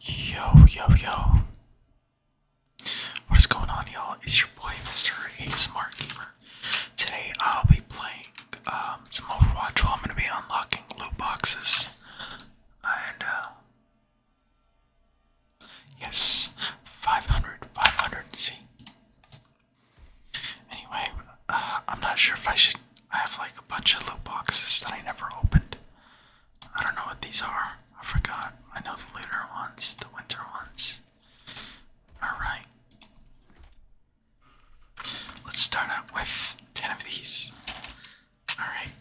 Yo, yo, yo. What is going on, y'all? It's your boy, Mr. A Smart Gamer. Today, I'll be playing um, some Overwatch while I'm going to be unlocking loot boxes. And, uh, yes, 500, 500, see? Anyway, uh, I'm not sure if I should I have like a bunch of loot boxes that I never opened. I don't know what these are. I forgot. I know the later ones, the winter ones. Alright. Let's start out with 10 of these. Alright.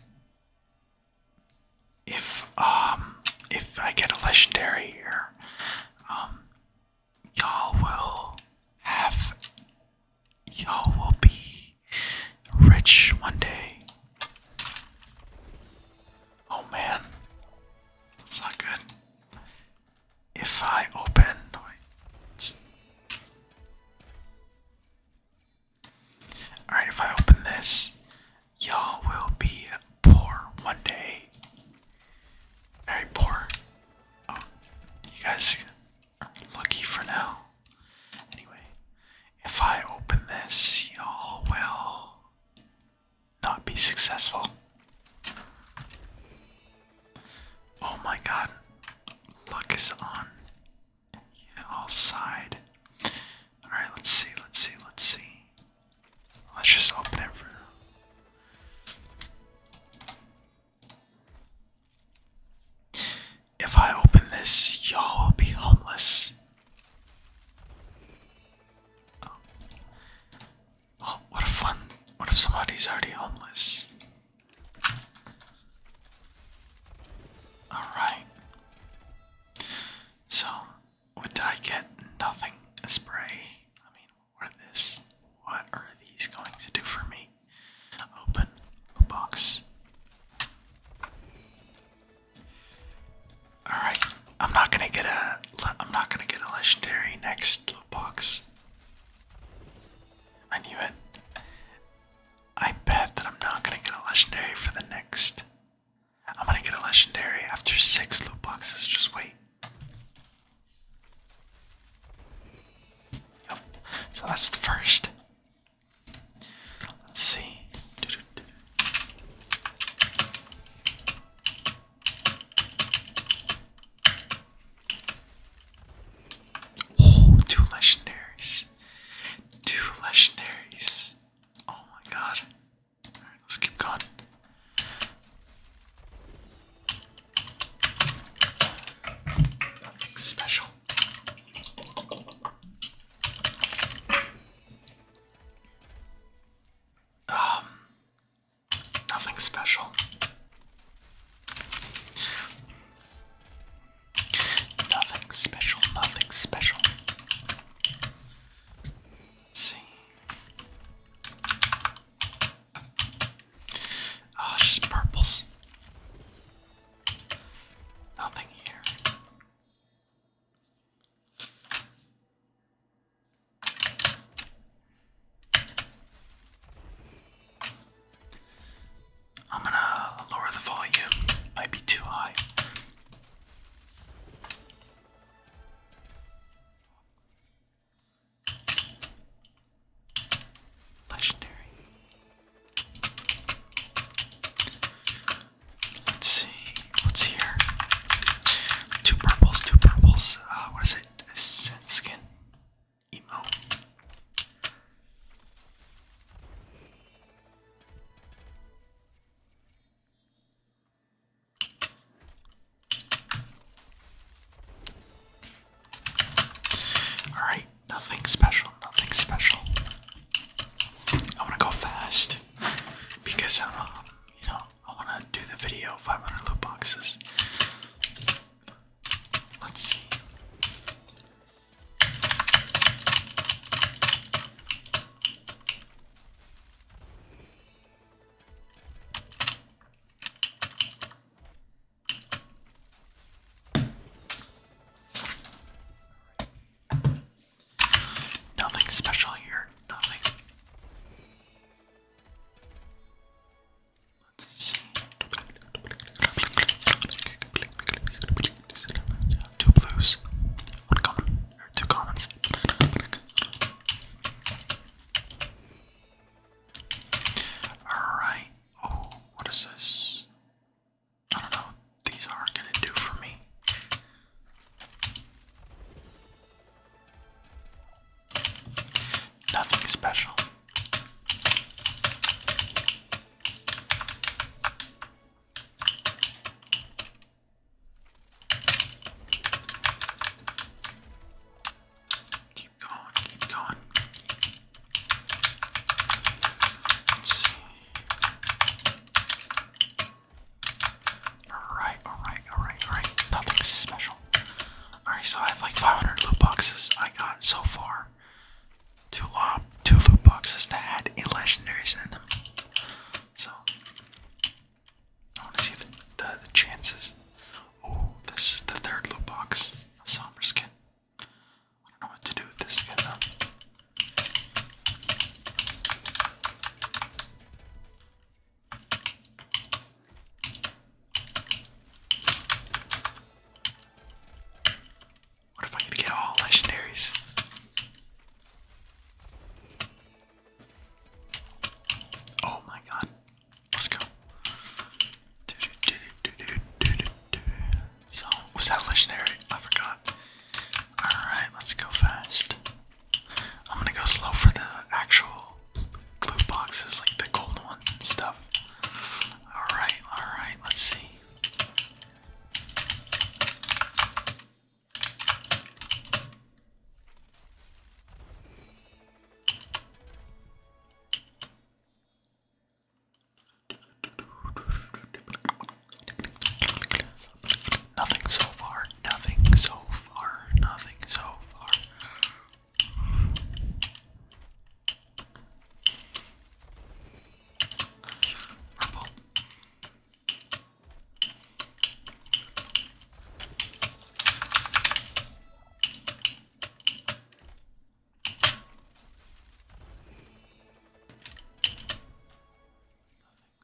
If um if I get a legendary here, um y'all will have y'all will be rich one day. Oh man, that's not good. If I open. Alright, if I open this, y'all will be poor one day. Very poor. Oh, you guys lucky for now. Anyway, if I open this, y'all will not be successful. Oh my god, luck is on yeah, all side. Alright, let's see, let's see, let's see. Let's just open it for if I open this, y'all will be homeless. Oh. oh what if one what if somebody's already homeless? Alright. So what did I get? Nothing. spray. I mean, what are this? What are these going to do for me? Open box. All right, I'm not gonna get a. I'm not gonna get a legendary next box. I knew it. I bet that I'm not gonna get a legendary for the next. I'm gonna get a legendary after six loot boxes. Just wait. Yep. So that's the first. Let's see. Oh, two legendaries. Two legendaries. Oh my god. let's keep going. special. Um, nothing special. Nothing special, nothing special. Let's see. Ah, just purples. Nothing here. I'm going to lower the volume. Might be too high. Legendary. Let's see. What's here? Two purples, two purples. Uh, what is it? Scent skin. Emo. All right, Nothing special, nothing special. I wanna go fast because I don't you know, I wanna do the video 500 loot boxes. Let's Nothing special here. Nothing. Two blues. two commons. Alright. Oh, what is this? I don't know these are gonna do for me. Nothing special. Keep going, keep going. Let's see. Alright, alright, alright, alright. Nothing special. Alright, so I have like 500 loot boxes I got so far. Two, uh, two loot boxes that had eight legendaries in them. So, I want to see the, the, the chances. Oh, this is the third loot box. A somber skin what to do with this again if I get all legendaries? Oh my god. Let's go. So, was that legendary? I forgot. Alright, let's go fast. I'm gonna go slow for the actual loot boxes, like the gold one and stuff. Alright, alright, let's see. Nothing so far, nothing so far, nothing so far. Purple.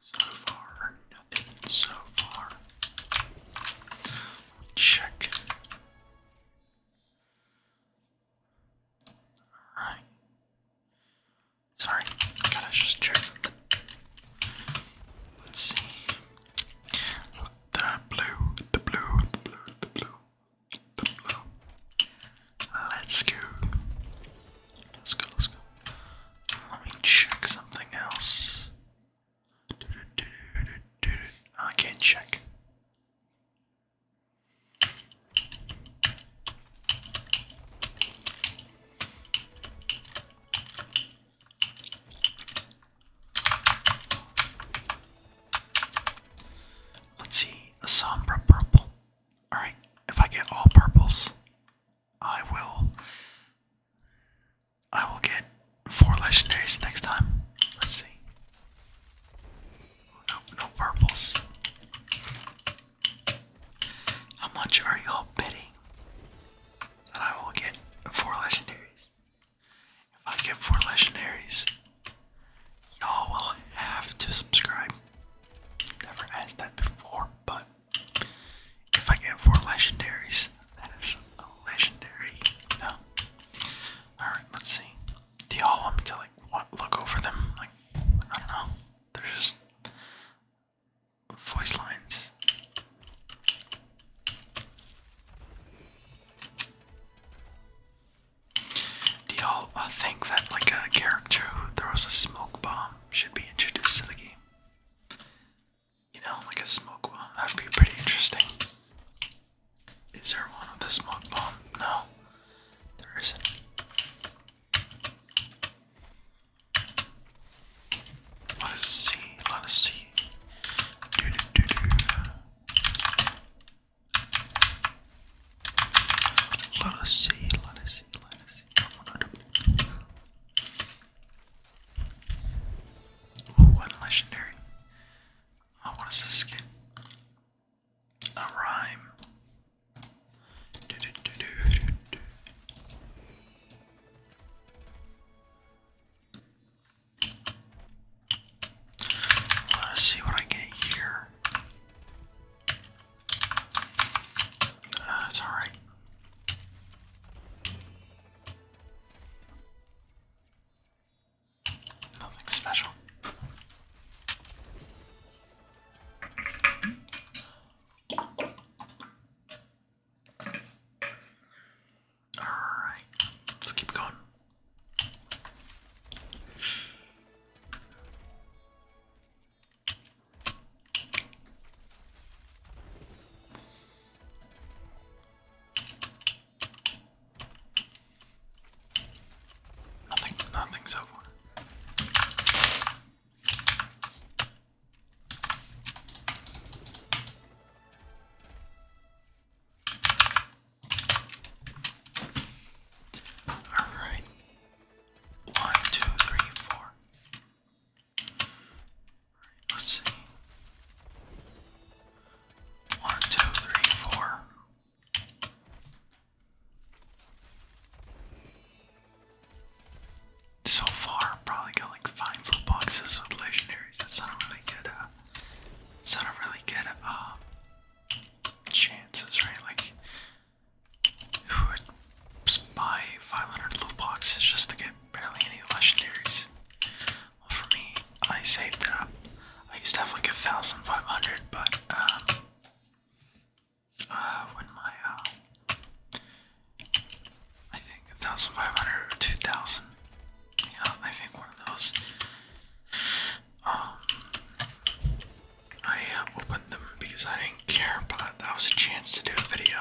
Nothing so far. Nothing so far. Check. Alright. Sorry, gotta just check Let's see. The blue, the blue, the blue, the blue, the blue. Let's go. Let's go, let's go. Let me check something else. I can't check. Let's see, a sombra purple. Alright, if I get all purples, I will I will get four legendaries next time. Let's see. No, no purples. How much are y'all bidding that I will get four legendaries? If I get four legendaries, y'all will have to subscribe Never asked that before, but if I get four legendaries, that is a legendary. No. Alright, let's see. Do y'all want me to like look over them? Like I don't know. They're just voice lines. Do y'all uh, think that like a character who throws a smoke bomb should be introduced to the game? You know, like a smoke bomb. That would be pretty interesting. Is there one with a smoke bomb? No, there isn't. Let us see, let us see. Doo -doo -doo -doo. Let us see, let us see, let us see. what legendary. Oh, what is this skin? A rhyme. Let's see what I get here. That's uh, all right. Nothing special. All right, let's keep going. Nothing, nothing's over. All right. One, two, three, four. let's see. One, two, three, four. So far, probably got like five full boxes with legendaries. That's not a really good, uh, not a really good, uh, chances, right? Like, who would buy 500 loot boxes just to get barely any legendaries. Well, for me, I saved it up. I used to have like a thousand five hundred, but um, uh, when my um, I think a thousand five hundred or two thousand, I think one of those. Um, I uh, opened them because I didn't care, but that was a chance to do a video.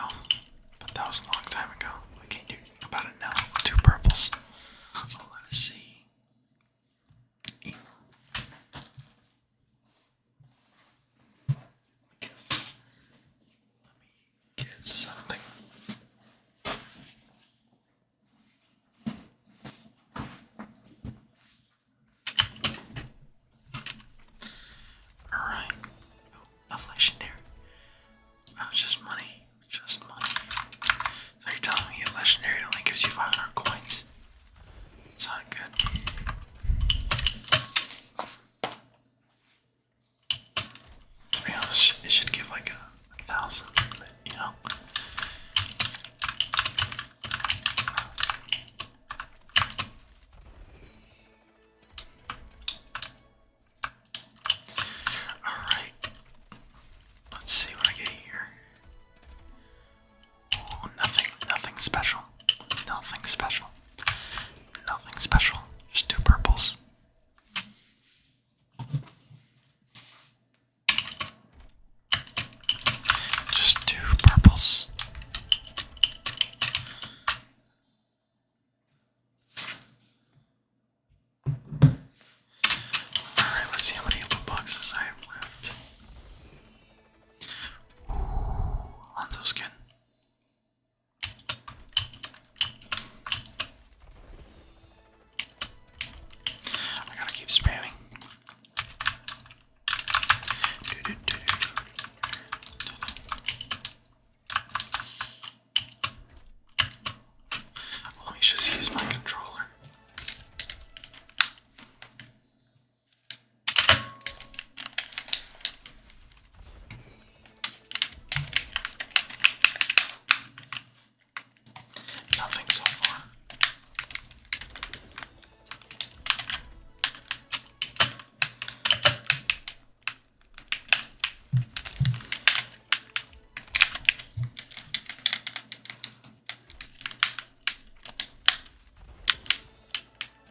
But that was a long time ago. We can't do about it now. Two purples. let us see. get something. Alright. Oh, nothing legendary. Oh, just money. Just money. So you're telling me a legendary only gives you 500 coins? It's not good. To be honest, it should give like a, a thousand, you know? Alright. Let's see what I get here. Oh, nothing, nothing special. Nothing special. Nothing special. Just two purples. Just two purples. Alright, let's see how many loot boxes I have left. Ooh, Hanzo skin. I gotta keep spamming. Do, do, do, do. Let me just use my controller. Nothing so far.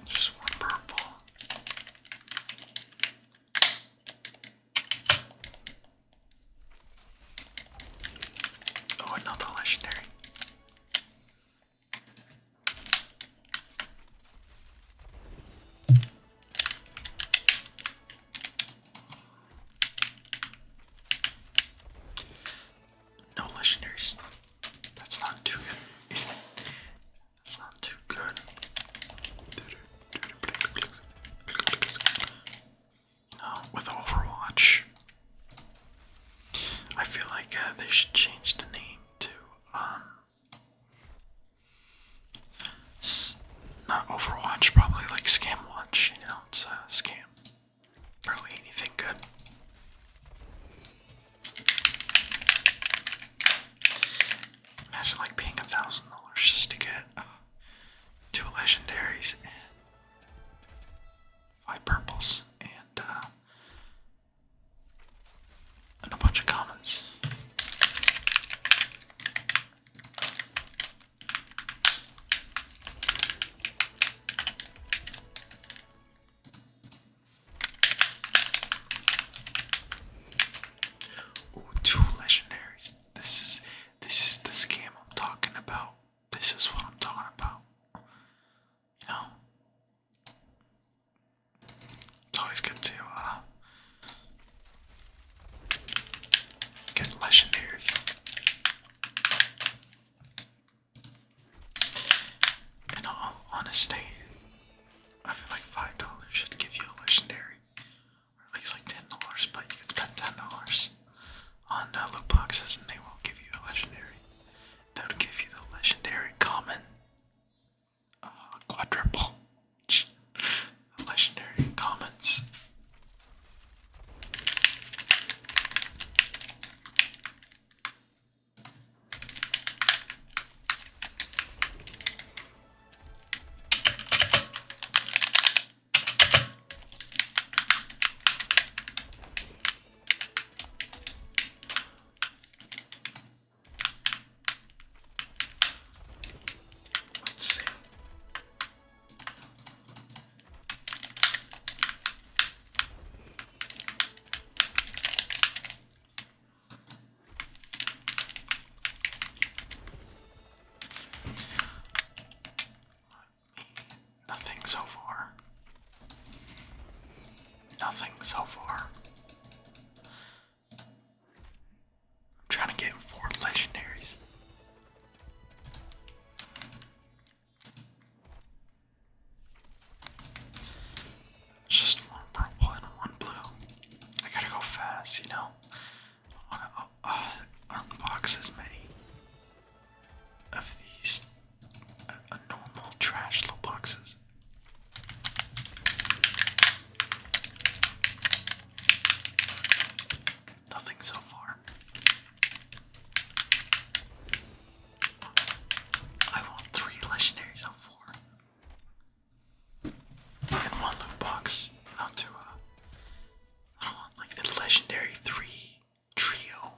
Just one purple. Oh, another legendary. No legendaries. That's not too good, is it? That's not too good. You with Overwatch, I feel like uh, they should change the name too. Um, not Overwatch, probably like Scam Watch, you know, it's a scam. Barely anything good. Imagine like paying a thousand dollars just to get uh, two legendaries and five purples and uh, and a bunch of comments. two legendaries. This is this is the scam I'm talking about. This is what I'm talking about. You know, it's always ah. good to get legendaries. In all honesty, I feel like five dollars should give you a legendary, or at least like ten dollars. But you could spend ten dollars on uh, loot boxes, and they will give you a legendary. They would give you the legendary common quadruple. Legendary comments. Let's see. Let me, nothing so far. Nothing so far. trying to get four legendaries. just one purple and one blue. I gotta go fast, you know. wanna uh, uh, unbox as many of these uh, normal trash little boxes Nothing so far. I want three legendaries on four. And one loot box. Not to, uh, I don't want like the legendary three trio.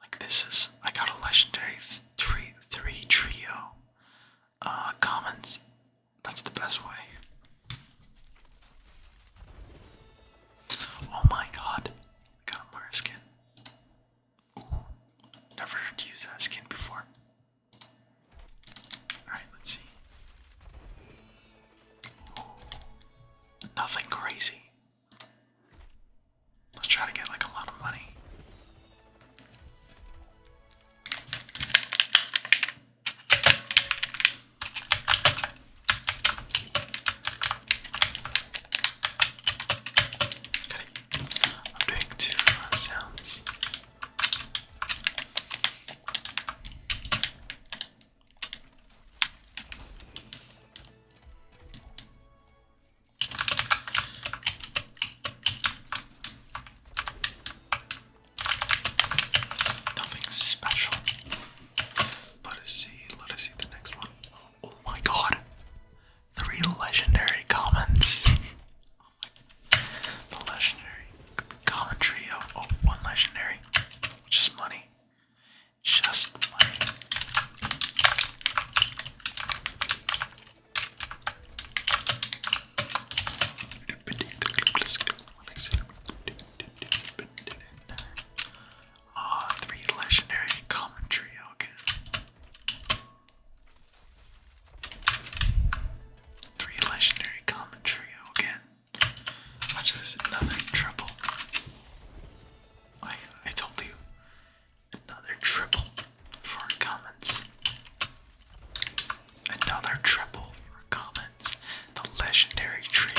Like this is, I got a legendary three three trio. Uh, That's the best way. Oh my god! got a Mara skin. never used that skin before. Alright, let's see. nothing crazy. Let's try to get like a lot of money. Okay. I'm doing two uh, sounds. Nothing special. Let us see, let us see the next one. Oh my god. Three legendary comments. Oh the legendary commentary of oh, one legendary. Just money. Just money. Ah, three legendary commentary, okay. Three legendary commentary again. Watch this, another triple. I I told you, Another triple for comments. Another triple for comments. The legendary trio.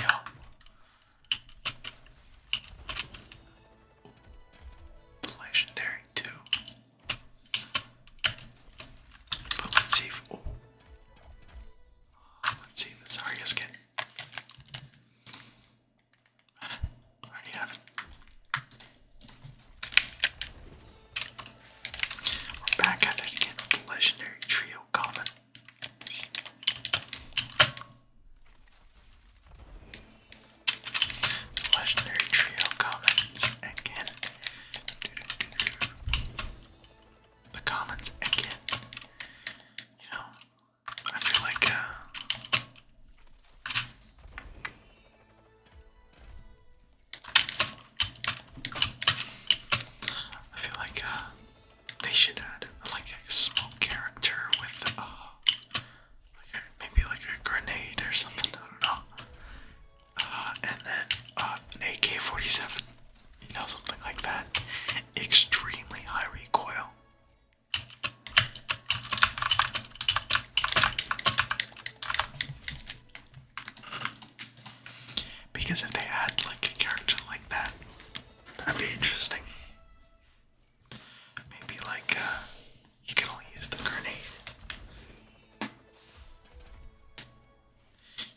legendary two. But let's see if oh. Let's see if the Zarya's can I already We're back at it again with the legendary trio common. legendary trio commons again. The commons again. You know, I feel like uh, I feel like uh, they should add like a small character with uh, a, maybe like a grenade or something. I don't know. Uh, and then an AK-47, you know, something like that. Extremely high recoil. Because if they add like a character like that, that'd be interesting. Maybe like uh, you can only use the grenade.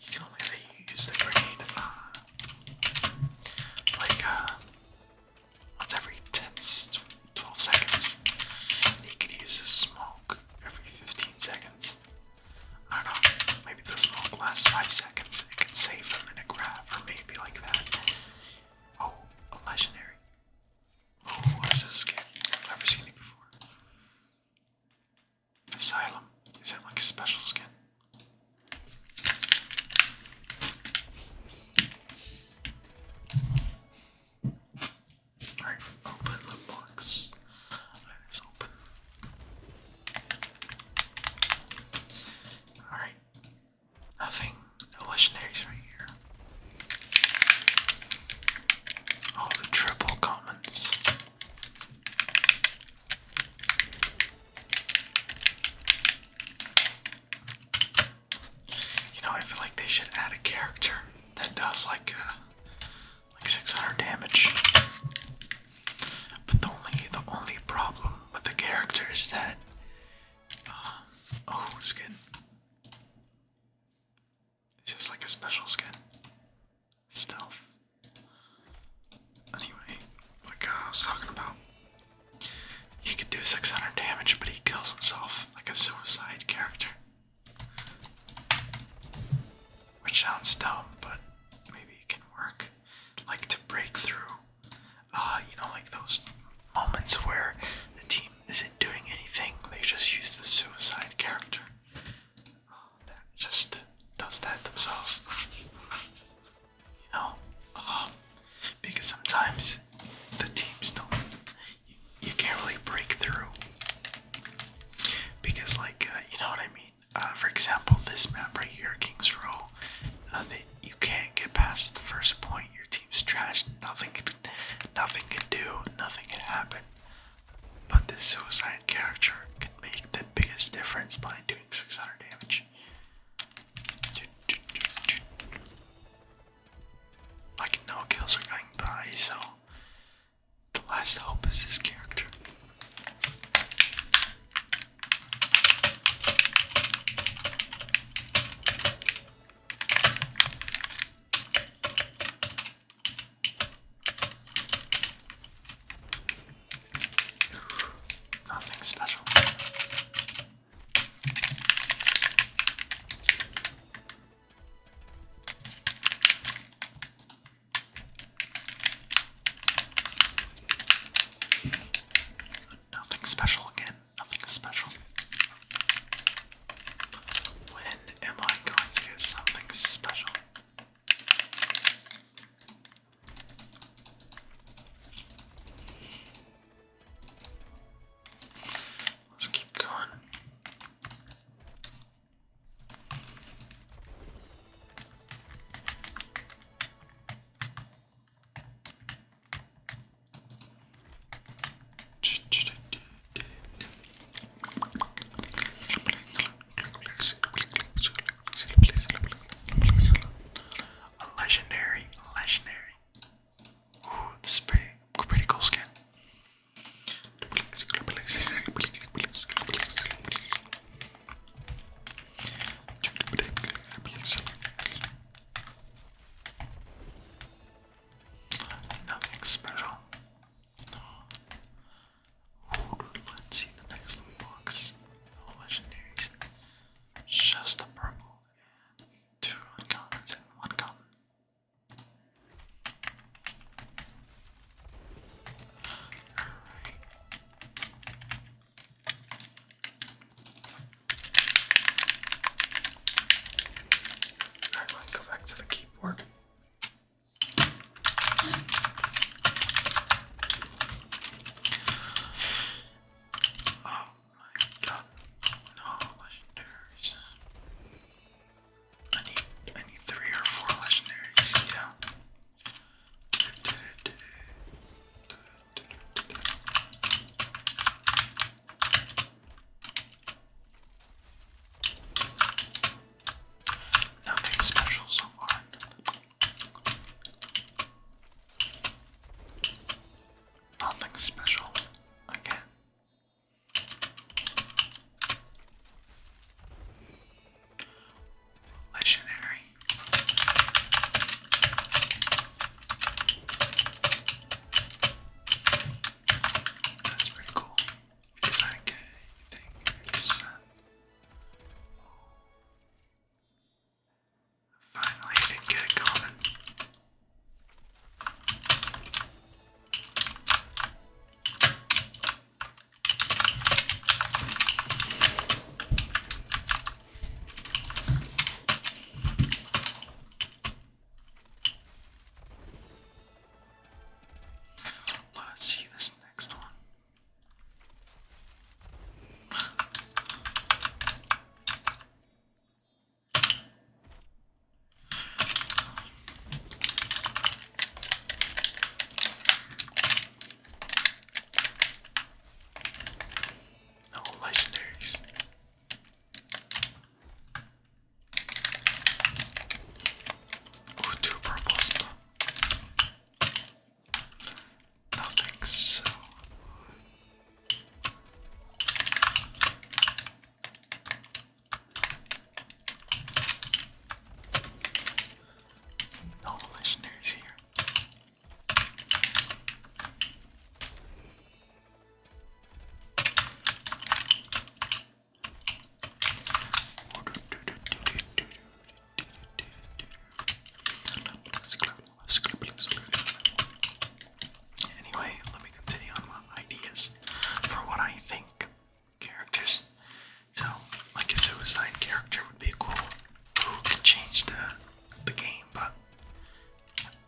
You can only use the grenade uh, like once uh, every 10, 12 seconds. And he could use his smoke every 15 seconds. I don't know, maybe the smoke lasts 5 seconds it could save him in a grab, or maybe like that. Oh, a legendary. Oh, what's this skin? never seen it before. Asylum. Is it like a special skin? Alright, open the box. Alright, it's open. Alright. Nothing. No legendaries right here. All the triple commons. You know, I feel like they should add a character that does like uh, like 600 damage. But the only the only problem with the character is that um, oh skin. It's just like a special skin. Stealth. Anyway, like uh, I was talking about, he could do 600 damage, but he kills himself like a suicide character. Which sounds dumb, but maybe it can work. Like to break through, uh, you know, like those moments where the team isn't doing anything, they just use the suicide character. Oh, that just does that themselves. You know? Um, because sometimes the teams don't you can't really break through because, like, uh, you know what I mean. Uh, for example, this map right here, Kings Row, uh, you can't get past the first point. Your team's trashed. Nothing, nothing can do. Nothing can happen. But this suicide character can make the biggest difference by doing 600 damage. Like no kills are going by, so the last hope is this character. Nothing special. Nothing special again, nothing special. When am I going to get something special? Let's keep going. A legendary, legendary. Ooh, this is pretty, cool skin. Nothing special. Let's see the next box. No legendaries. Just a purple and two uncommons and one common. All right, let me go back to the keyboard. Oh my god, no legendaries. I need I need three or four legendaries. Yeah. Nothing special so far. Nothing special. Again. Legendary. That's pretty cool. Finally, I did get it going. Let us see this next one. No legendaries. Ooh, two purples. Nothing so. All the legendaries here. Anyway, let me continue on my ideas for what I think characters. So, like a suicide character would be cool. Who can change the the game, but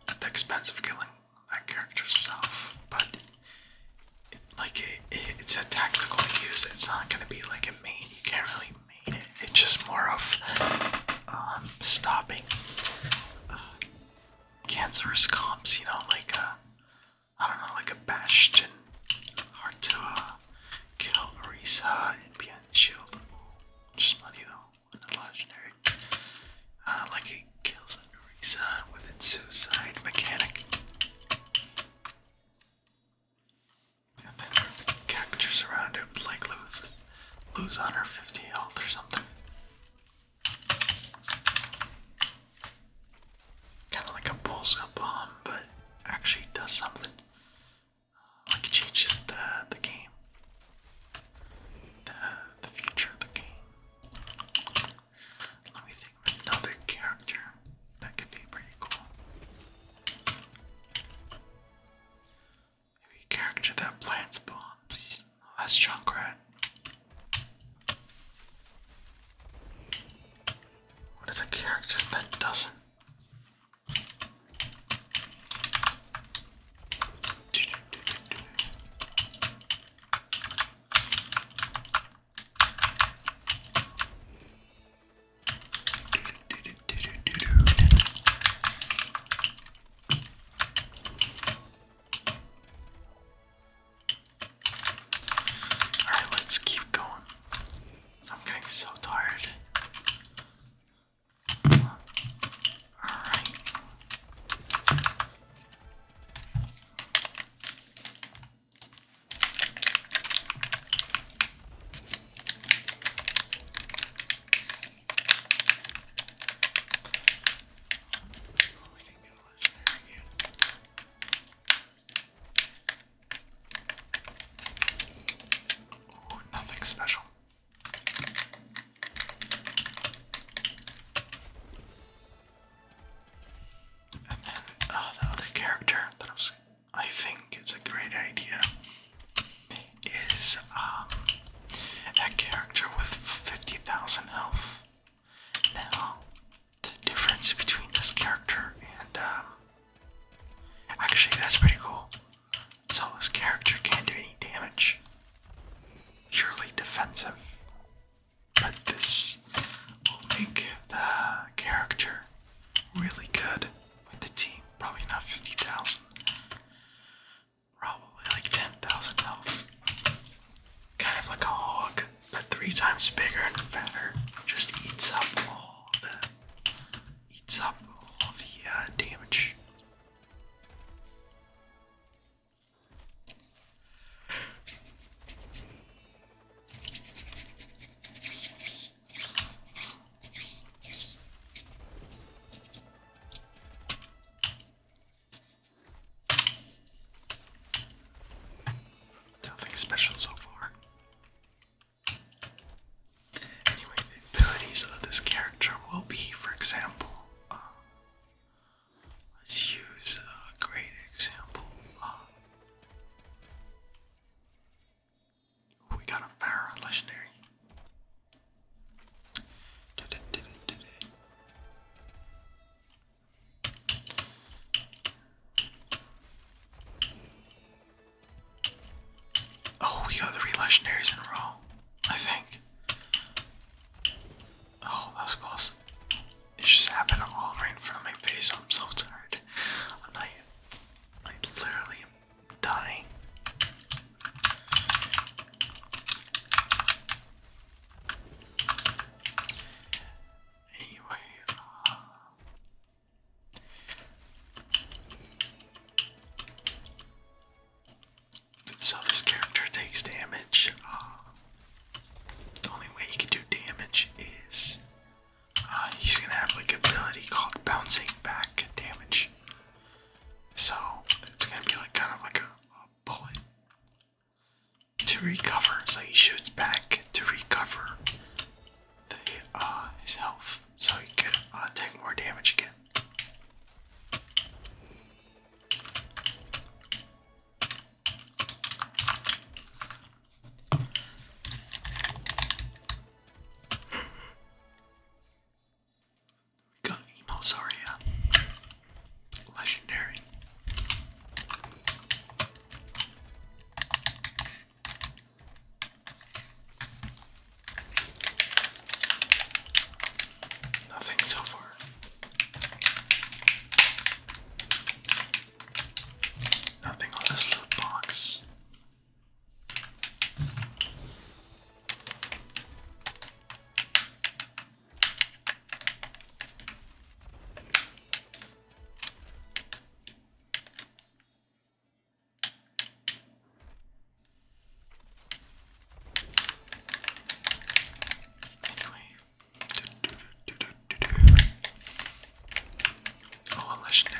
at the expense of killing that character's self. But like it, it's a tactical use. It's not gonna be like a main. You can't really main it. It's just more of um, stopping uh, cancerous comps. You know, like uh, I don't know, like a bastion. Hard to kill Marisa and be on the shield. Just money though, not legendary. Uh, like it kills Marisa with its suicide mechanic. And then characters around it would like lose, lose on 50 health or something. Kind of like a pulsar bomb, but actually does something. Uh, like changes the the game, the the future of the game. Let me think another character that could be pretty cool. Maybe a character that plants bombs. Oh, that's Junkrat. What is a character that doesn't? Alright, let's keep going. I'm getting so tired. Alright. Oh, nothing special. And then uh, the other character that I think it's a great idea, is um, character with 50,000 health. Now, the difference between this character and um, actually that's pretty cool. So this character can't do any damage. Purely defensive. But this will make the character really good with the team. Probably not 50,000. Probably like 10,000 health kind of like a hog, but three times bigger and fatter. Just eats up all the eats up all the uh, damage. Nothing special so far. Anyway, the abilities of this character will be, for example, um, let's use a great example. Um, we got a power legendary. Oh, we got three legendaries in a row, I think. Oh, that was close. It just happened all right in front of my face. I'm so tired. I'm not I literally dying. Anyway, um, so this character takes damage. the only way he can do damage is uh, he's gonna have like ability called bouncing back damage. So it's gonna be like kind of like a bullet to recover. So he shoots back to recover uh, his health so he can uh, take more damage again. got Emo Legendary. Nothing so far. Nothing on this loot box. Anyway. Do, do, do, do, do, do. Oh, a legendary.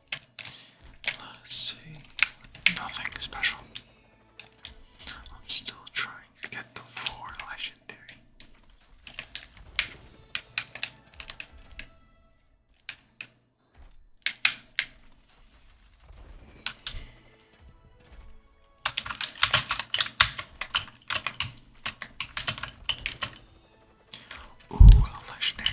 Let's see. Nothing special. I'm still trying to get the four legendary. Ooh, legendary.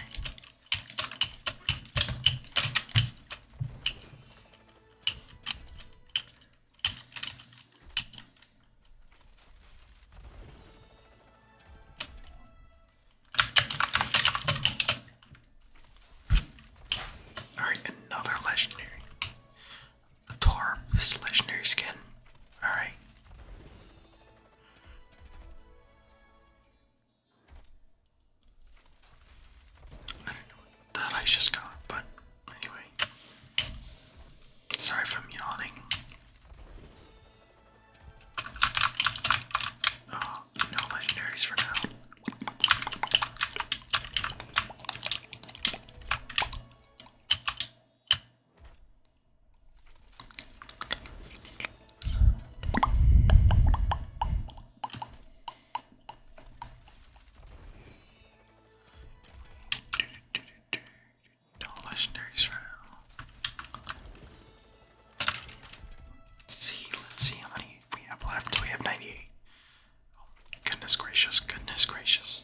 Alright, another legendary. A Torb, this legendary skin. Alright. I that I just got, but anyway. Sorry for yawning. Oh, no legendaries for now. No legendaries for Let's see, let's see how many we have left. We have 98. Oh, goodness gracious, goodness gracious.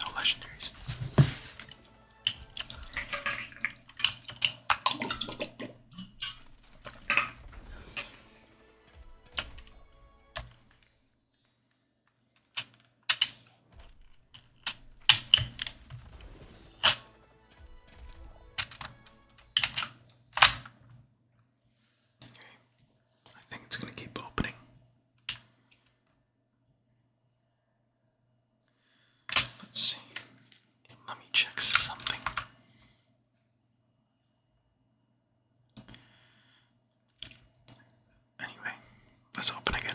No legendaries. I think it's going to keep opening. Let's see. Let me check something. Anyway, let's open again.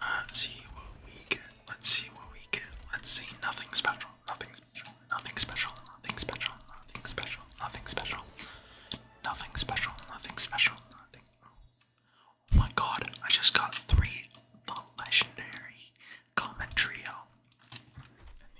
Let's see what we get. Let's see what we get. Let's see. Nothing special. Nothing special. Nothing special. Nothing special. Nothing special. Nothing special. Nothing special. Nothing special. Oh my god, I just got three legendary comment trio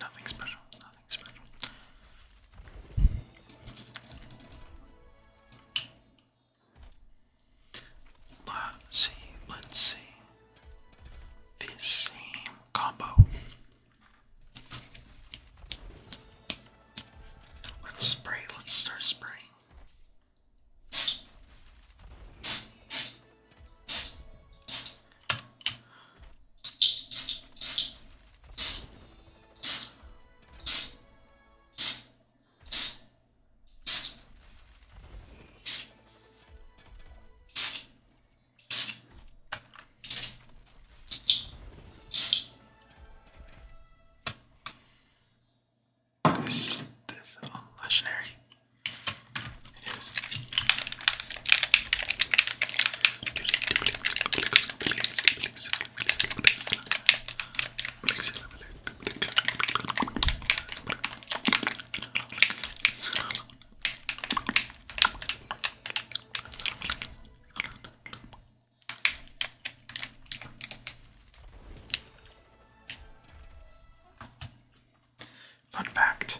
Nothing special, nothing special. Let's see, let's see. This same combo Let's spray, let's start spraying. Is this a legendary? It is. Fun fact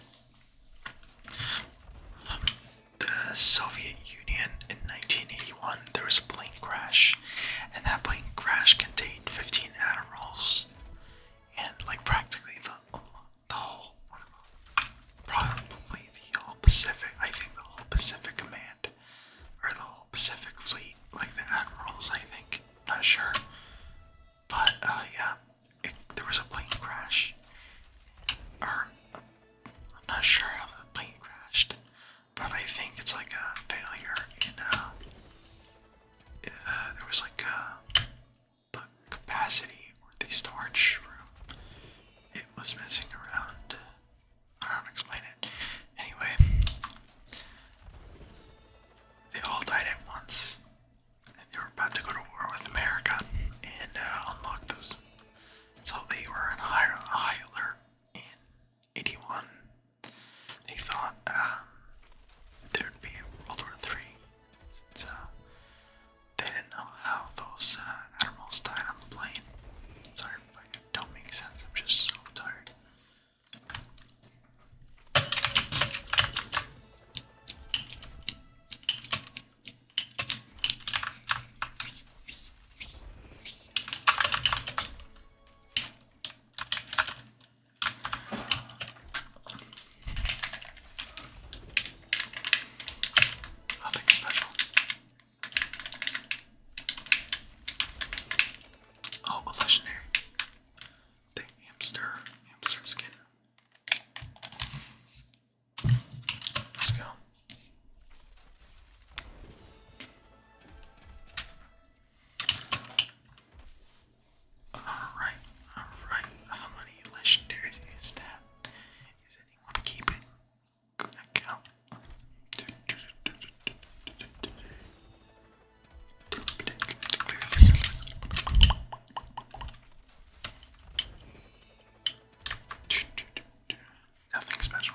The Soviet Union in 1981, there was a plane crash, and that plane crash contained 15 Admirals, and like practically the, the whole, probably the whole Pacific, I think the whole Pacific Command or the whole Pacific Fleet, like the admirals, I think. Not sure, but uh, yeah, it, there was a plane crash, or I'm not sure how the plane crashed, but I think it's like a failure in uh, uh there was like a uh, the capacity or the storage room. It was messing around. I don't explain it. Anyway, they all died at once. And they were about to go to war with America and uh, unlock those. So they were in high, high alert in 81. They thought um, there'd be World War III since uh, they didn't know how those uh, admirals died on the plane. Sorry don't make sense. I'm just so tired. Nothing special. Oh, legendary. The hamster. Hamster skin. Let's go. Alright, alright. How many legendaries is that? Is anyone keeping Nothing special.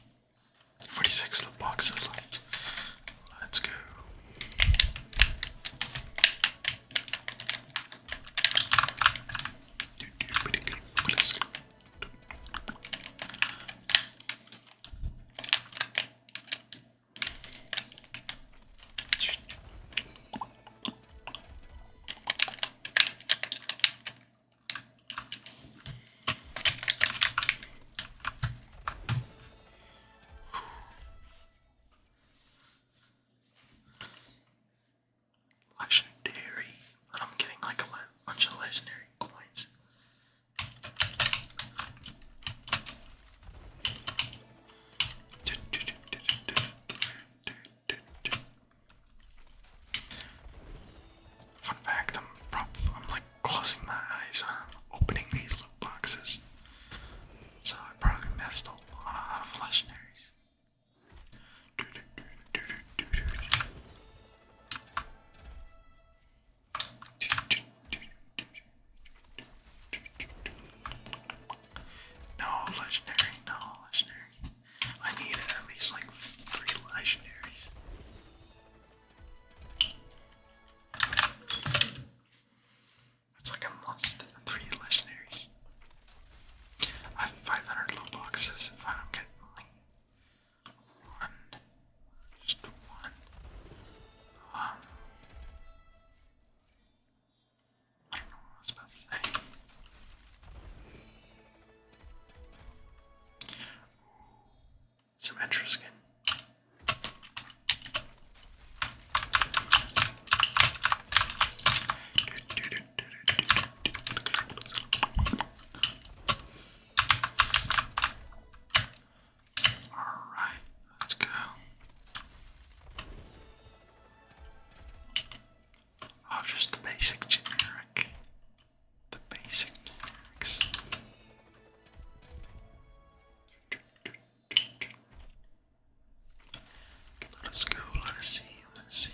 46 The boxes left. Let's go. Legendary, but I'm getting like a bunch of legendary coins. Fun fact, I'm like closing my eyes uh, opening these loot boxes. So I probably missed a lot of legendaries. No legendary, no legendary. I need at least like three legendaries. That's like a must. Three legendaries. I have 500 low boxes if I don't get one. Just one. Um. what was about to say some extra skin. All right, let's go. Oh, just basic generic the basic tracks. Let us go, let us see, let us see.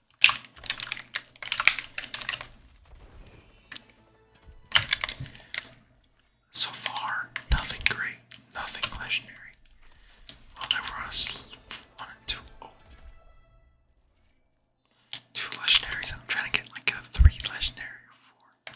So far, nothing great, nothing legendary. Well, there was one and two. Oh. Two I'm trying to get like a three legendary or four.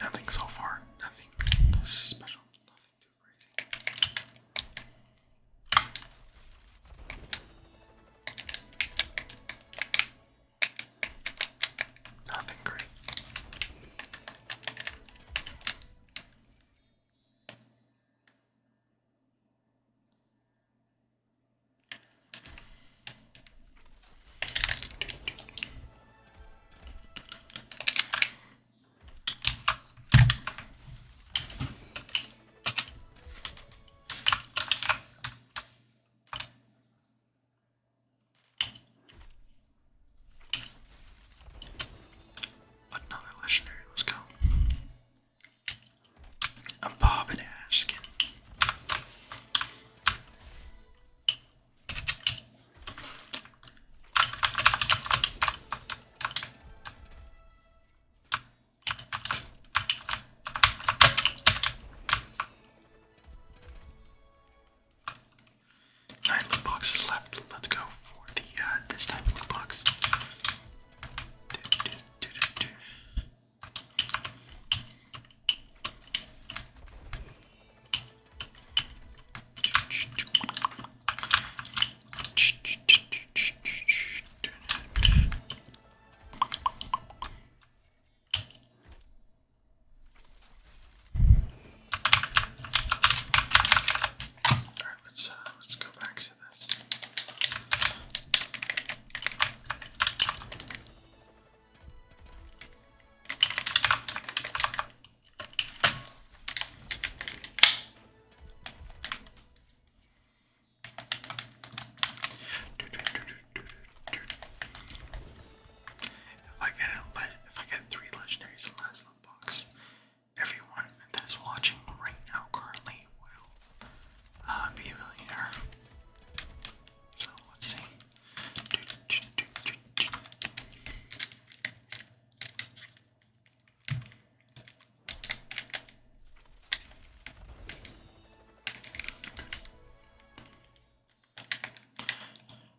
Nothing so far, nothing special, nothing too crazy. Nothing great. Another legendary, let's go. A Bob and Ash Nine loot boxes left. Let's go for the uh, this type loot box. All right, let's uh, let's go back to this. If I get three legendaries in the last little box, everyone that is watching right now currently will uh, be a millionaire. So let's see.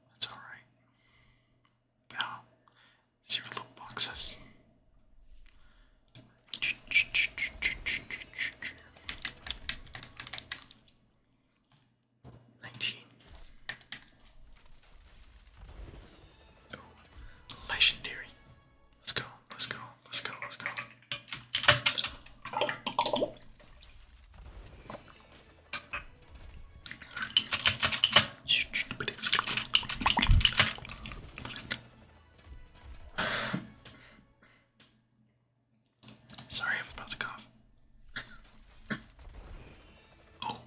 That's all right. Now, zero loot boxes. Nineteen. Oh, legendary. Let's go, let's go, let's go, let's go. Sorry, I'm about to cough. oh,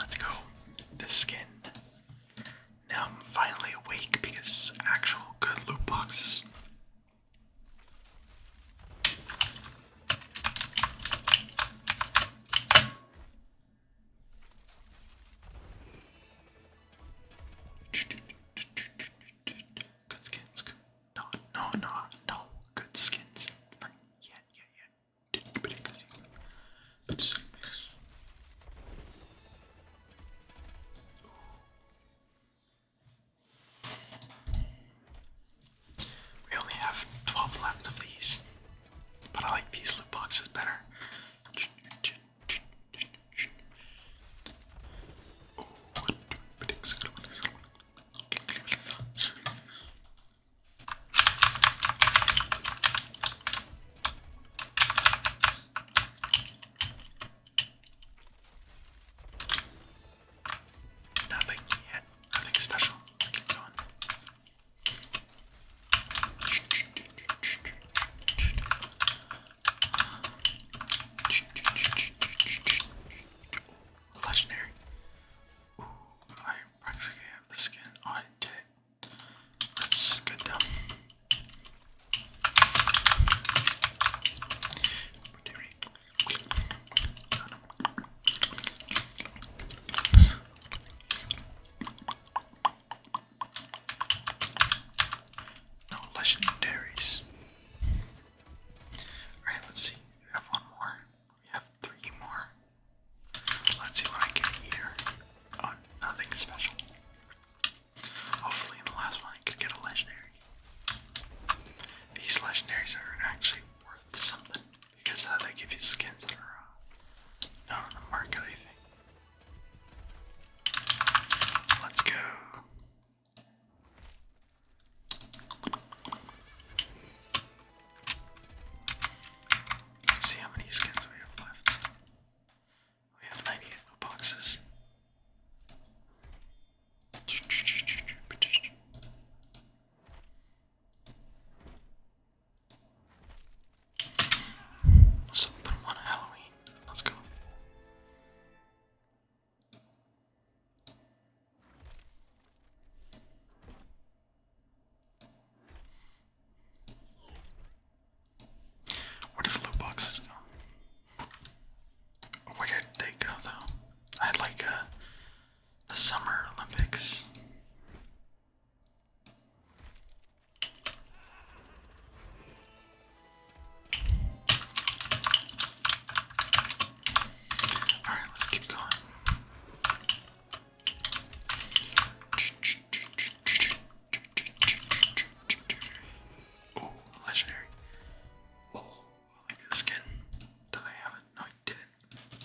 let's go. The skin. Now I'm finally awake because actual good loot boxes. Good skins. Good. No, no, no, no. Good skins. For, yeah, yeah, yeah. did we only have 12 left of these, but I like these loot boxes better. Nothing yet. Nothing special. Let's keep going. Legendary. Ooh, I practically have the skin. Oh, I did it. That's good though. No legendaries. Alright, let's see. We have one more. We have three more. Let's see what I get here. Oh, nothing special. Hopefully, the last one, I could get a legendary. These legendaries are actually worth something because uh, they give you skins that are uh, not on the market, Let's go. Let's see how many skins we have left. We have 98 boxes. So put them on Halloween. Let's go. Where did the loot boxes go? Oh, where did they go though? I would like a, uh, the Summer Olympics. All right, let's keep going. Oh, legendary. Oh, I like this skin. Did I have it? No, I didn't.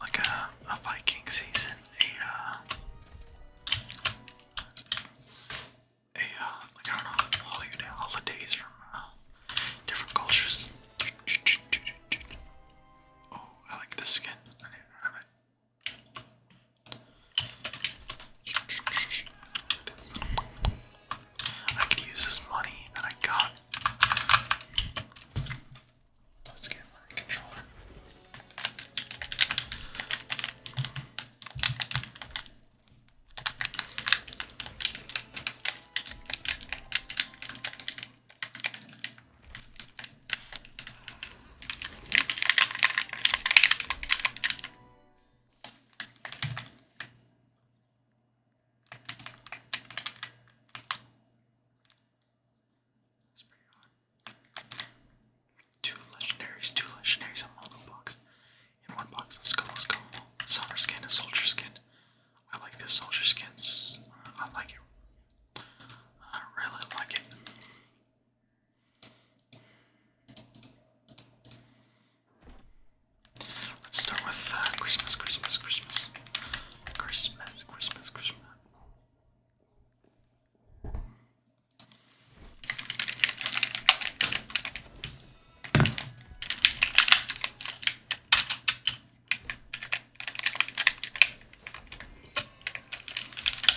like a, a Viking season, a uh, a uh, like I know holiday holidays from uh, different cultures. Oh, I like this skin. I didn't have it. I could use this money that I got Let's get my controller. It's pretty Two legendaries, two legendaries on one box. In one box, let's go, let's Summer skin and soldier skin. I like this soldier skin. Uh, I like it. I really like it. Let's start with uh, Christmas, Christmas, Christmas, Christmas, Christmas, Christmas.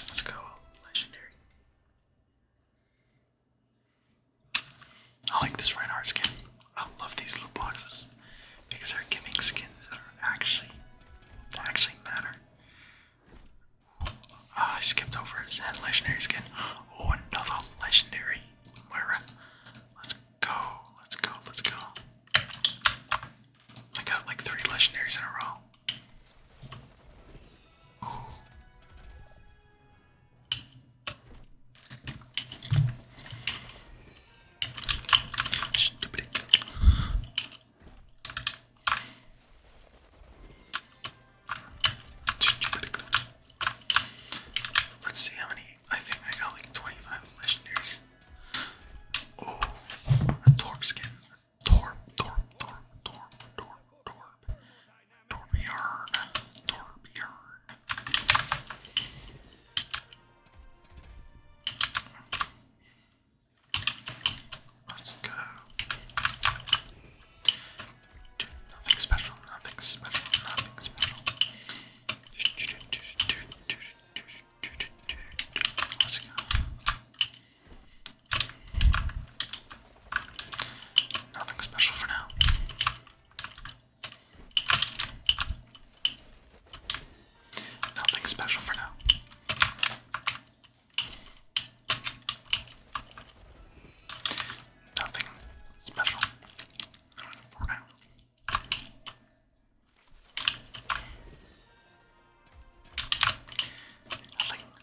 Let's go, legendary. I like this Reinhardt skin. I love these little boxes. Because they're giving skins that are actually actually matter. Oh, I skipped over his legendary skin. Oh, another legendary Moira. Let's go, let's go, let's go. I got like three legendaries in a row. Stupid. Let's see how many. I think I got like 25 legendaries. Oh, a Torb skin. A torb, Torb, Torb, Torb, Torb, Torb. Torbjorn. Torbjorn. Let's go. Do nothing special, nothing special, nothing special. Let's go. Nothing special for now. Nothing special for now. Nothing special for now. Nothing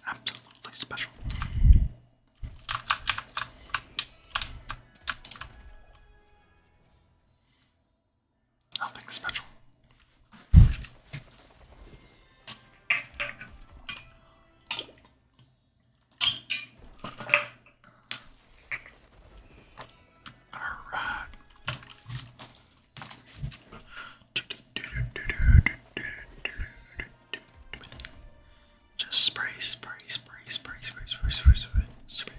absolutely special. Nothing special. Alright. Just spray, spray, spray, spray, spray, spray, spray, spray, spray, spray.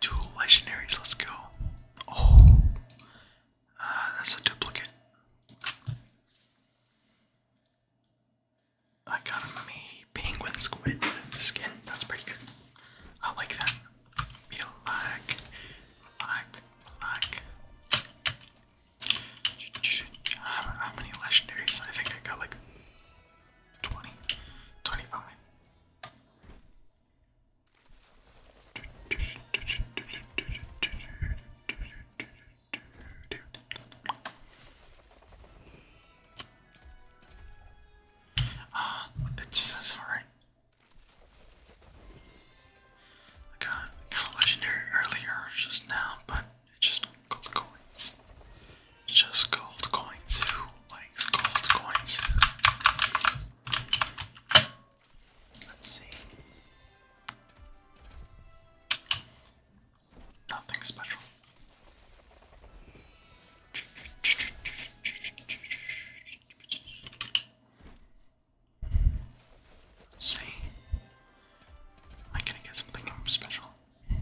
Two legendaries, let's go. Oh, uh, that's a duplicate. I got a me penguin squid skin. That's pretty good. I like that. You like, like, like. How many legendaries? I think I got like 20, 25. Uh, ah, it's, it's alright. I got, got a legendary earlier, just now, but just gold coins. just gold coins. likes gold coins? Let's see. Nothing special. Let's see. Am I gonna get something special? Let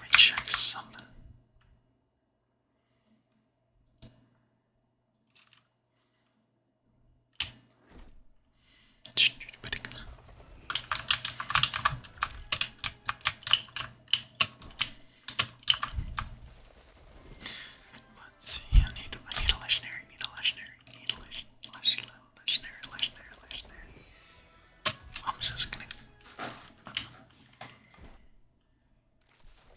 me check something. Let's see, I need I need a legendary, need a legendary, need a legendary, legendary, legendary, legendary. I'm just gonna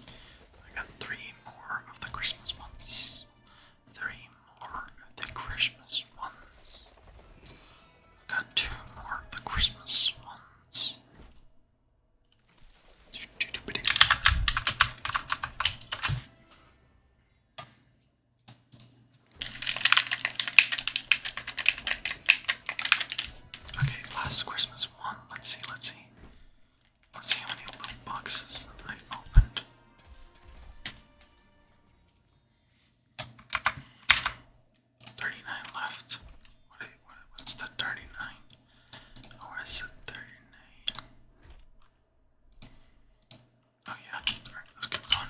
I got three more of the Christmas ones. Three more of the Christmas ones. I got two more of the Christmas ones. Okay, last Christmas one. Let's see, let's see. Let's see how many little boxes I opened. Thirty-nine left. What? Oh, is, the thirty-nine? Oh, I said thirty-nine. Oh yeah. All right, let's keep going.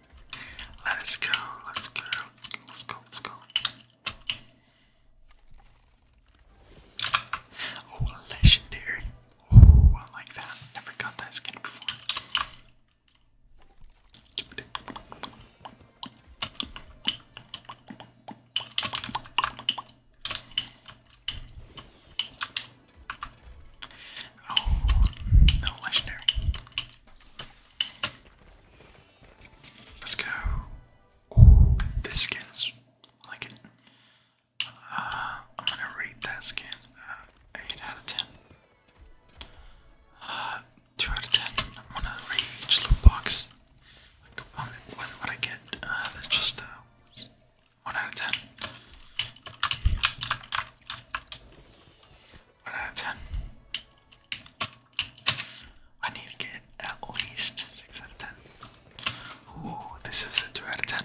Let's go, let's go, let's go, let's go. Oh, legendary. Oh, I like that. Never got that skin before. Oh, legendary. Let's go. this skin's like it. Uh, I'm gonna rate that skin uh, 8 out of 10. Uh, 2 out of 10. I'm to rate each loot box. Like, When would I get? Uh, that's 1 out of 10. One out of ten. I need to get at least six out of ten. Ooh, this is a two out of ten.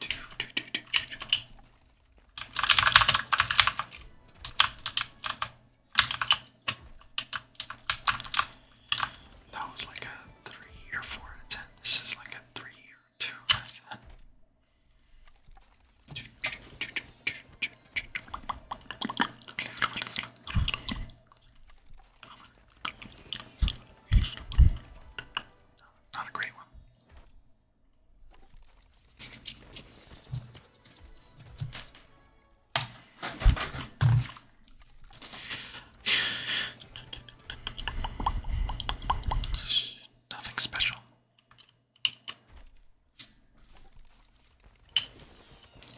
Two, two, That was like a three or four out of ten. This is like a three two percent. Not a great one. Nothing special.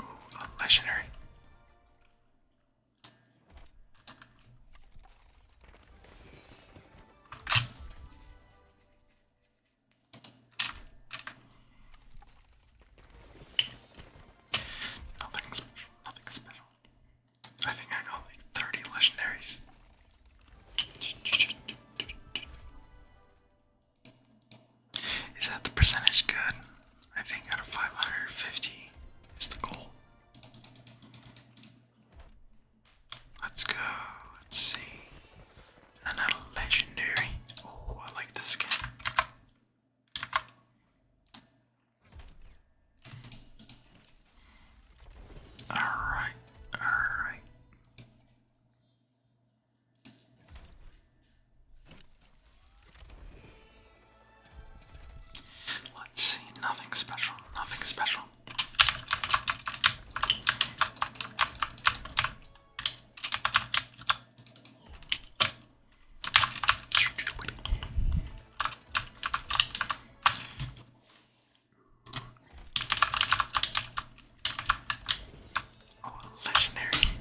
Ooh, legendary. Nothing special, nothing special. I think I got like 30 legendaries. Is that the percentage good? I think out of 550 is the goal. Let's go. Let's see. Another legendary. Oh, I like this game. Alright, alright. Let's nothing special, nothing special. Oh, legendary.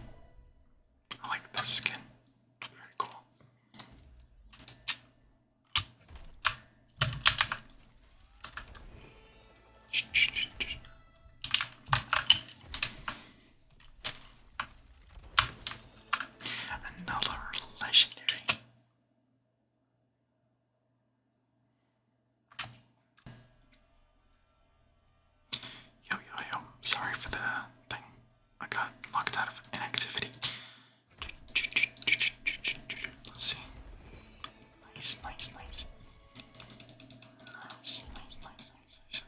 I like this skin. Very cool. Another legendary. Yo, yo, yo. Sorry for the thing. I got locked out of inactivity. Let's see. Nice, nice, nice. Nice, nice, nice, nice, nice.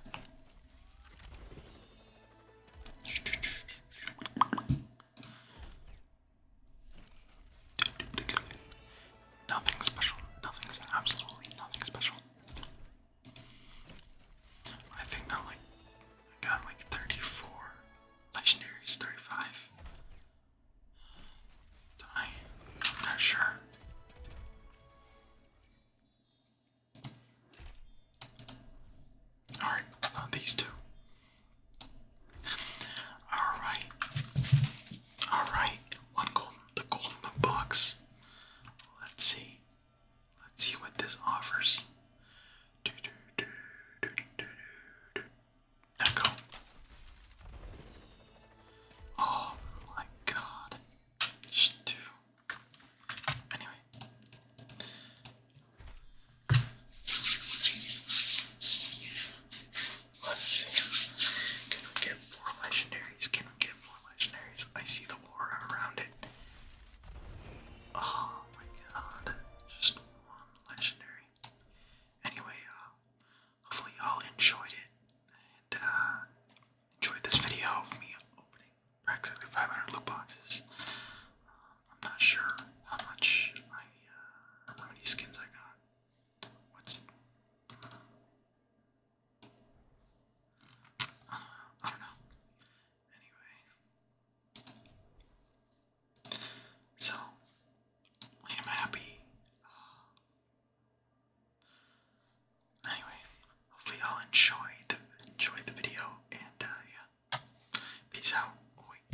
Nothing special. Nothing's absolutely nothing special. I think I like I got like 34 legendaries, 35. I? am not sure. Alright, uh, these two. Alright. Alright, one golden the golden box. Let's see. Let's see what this offers. Echo. Oh my god. Just do. Anyway. Let's see. Can we get four legendaries? Can we get four legendaries? I see the aura around it. Oh my god. Just one legendary. Anyway, uh, hopefully y'all enjoyed it. And, uh, enjoyed this video of me opening practically 500 loot boxes. Uh, I'm not sure how much uh, how many skins I got. I don't know. Anyway, so I am happy. anyway, hopefully y'all enjoy the enjoyed the video and uh, yeah, peace out.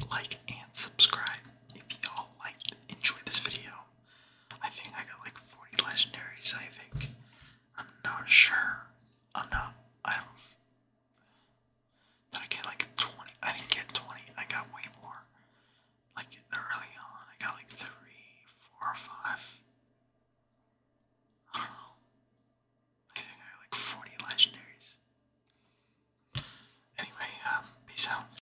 like and subscribe if y'all liked enjoyed this video. I think I got like 40 legendaries, I think. I'm not sure. I'm not, I don't, did I get like 20? I didn't get 20, I got way more. Like early on, I got like three, I don't know. I think I like 40 legendaries. Anyway, um, peace out.